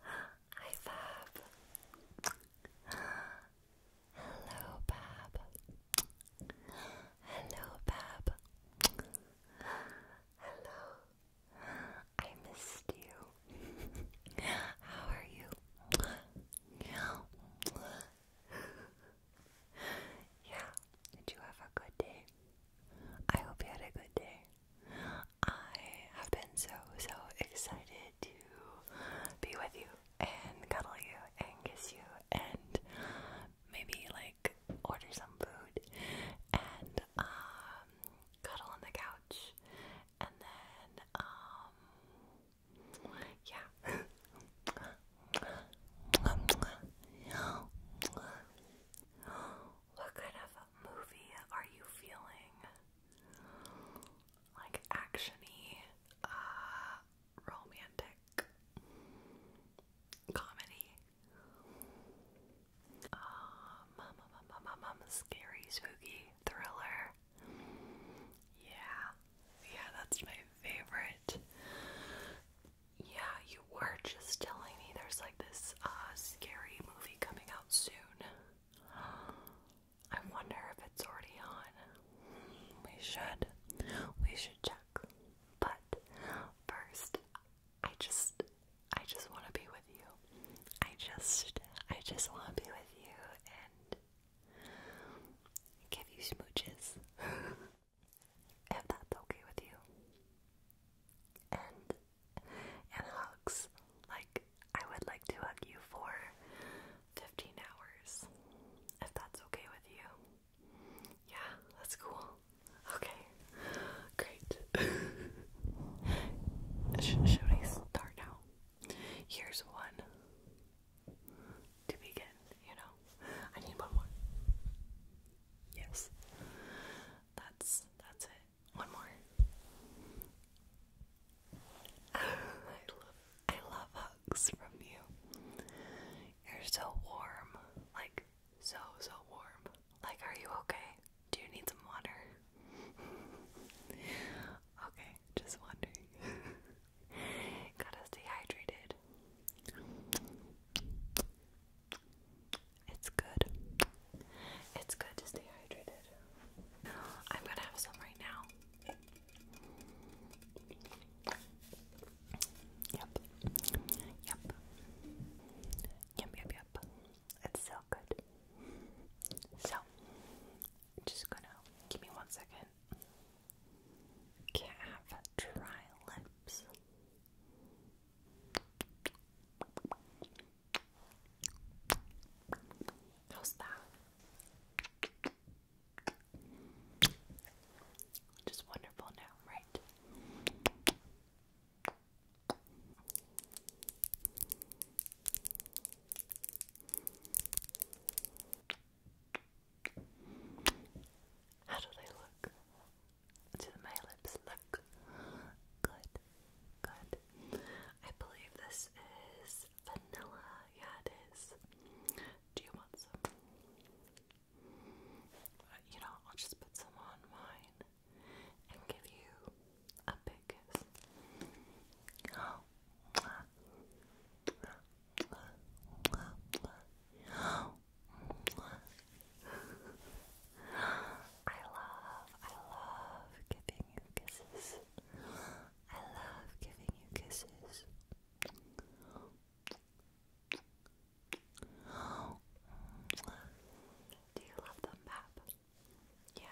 Hi, Fab. Hello, Bab. Hello, Bab. Hello. I missed you. How are you? Yeah. Did you have a good day? I hope you had a good day. I have been so, so excited to be with you and cuddle you and kiss you and maybe like order some food and um, cuddle on the couch and then, um, yeah. What kind of movie are you feeling? Like actiony, uh, romantic, comedy, um, scary, spooky, thriller. Yeah, yeah, that's my favorite. Yeah, you were just telling me there's like this a scary movie coming out soon. I wonder if it's already on. We should. We should check. But first, I just I just want to be with you. I just I just want to be with you and give you smooches. if that's okay with you. And and hugs. Like, I would like to hug you for 15 hours if that's okay with you. Yeah, that's cool. Okay, great. should I start now? Here's one to begin, you know. I need one more. Yes. That's that's it. One more. I love I love hugs from you. You're so warm. Like so so warm. Like are you okay? Do you need some water? okay, just wondering. Got us dehydrated. It's good. It's good to stay hydrated. I'm gonna have some right now. Yep. Yep. Yep, yep, yep. It's so good. So, just gonna give me one second. Can't have dry lips. How's that? Just wonderful now, right? How did I look? To Do my lips look good? Good. I believe this is vanilla. Yeah, it is. Do you want some? Uh, you know, I'll just put some on mine and give you a big kiss. I love, I love giving you kisses. I love giving you kisses. Do you love them, Pap? Yeah.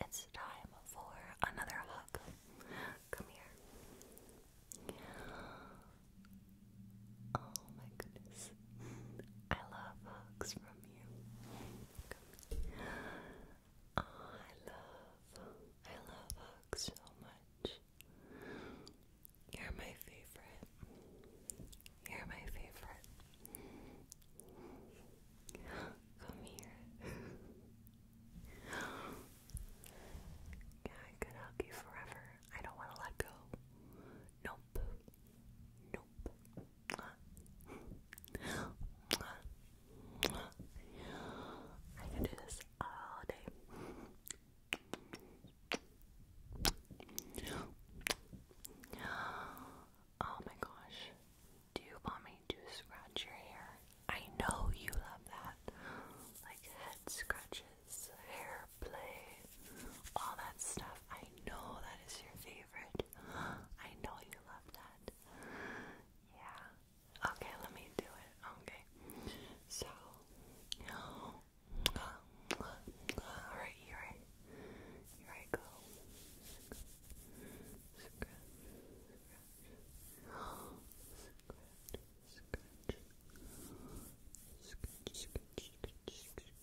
It's time for another hug. Come here. Oh my goodness. I love hugs from you. I love, I love hugs so much. You're my favorite. You're my favorite. Come here. yeah, I could hug you forever. I don't want to let go. Nope. Nope. I can do this all day. Oh my gosh. Do you want me to scratch your hair? I know you love that. Like head scratches, hair play, all that stuff. I know that is your favorite favorite. I know you love that. Yeah. Okay, let me do it. Okay. So, alright, here I, here I go.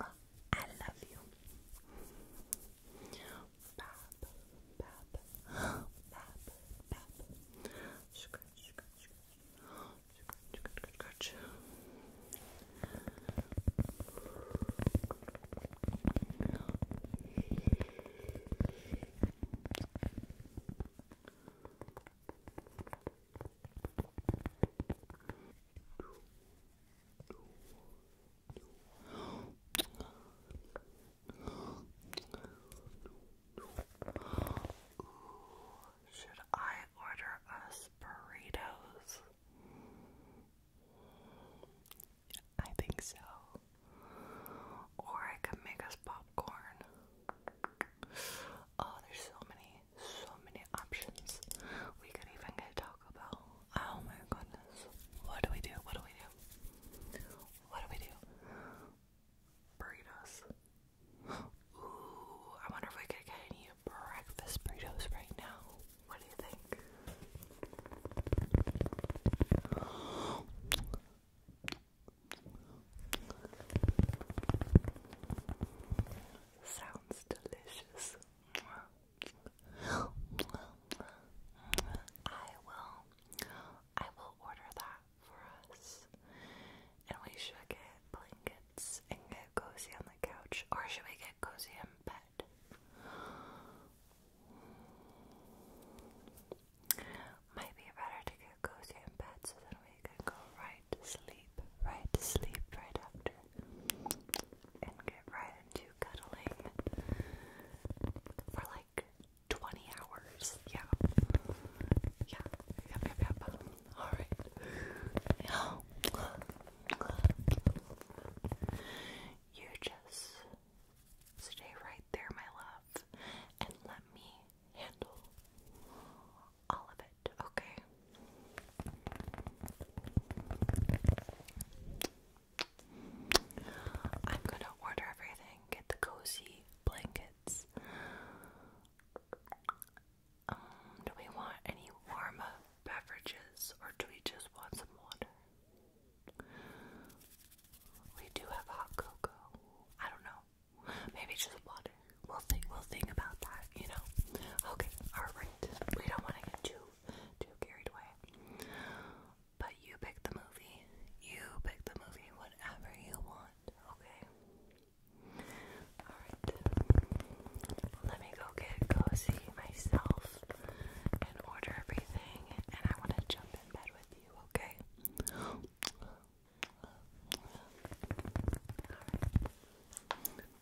I love you. Bab, bab, bab, bab. Scratch, scratch, scratch, scratch, scratch. Scratch, should I order us burritos? I think so. Or I could make us popcorn. Oh, there's so many, so many options. We could even get Taco Bell. Oh my goodness. What do we do? What do we do? What do we do? Burritos. Ooh, I wonder if we could get any breakfast burritos right now. What do you think? Sounds delicious. I will I will order that for us. And we should get blankets and get cozy on the couch. Or should we get cozy in bed? Might be better to get cozy in bed so then we can go right to sleep. Right to sleep right after and get right into cuddling for like 20 hours. Yeah. Yeah. Yep, yep, yep. Alright. You just stay right there, my love, and let me handle all of it, okay? I'm gonna order everything, get the cozy blankets. Um, do we want any warm up beverages or do we just want some water? We do have hot cocoa. I don't know. Maybe just water we'll think we'll think about that, you know. Okay, alright. We don't wanna get too too carried away. But you pick the movie. You pick the movie, whatever you want, okay? Alright. Let me go get cozy myself and order everything and I wanna jump in bed with you, okay?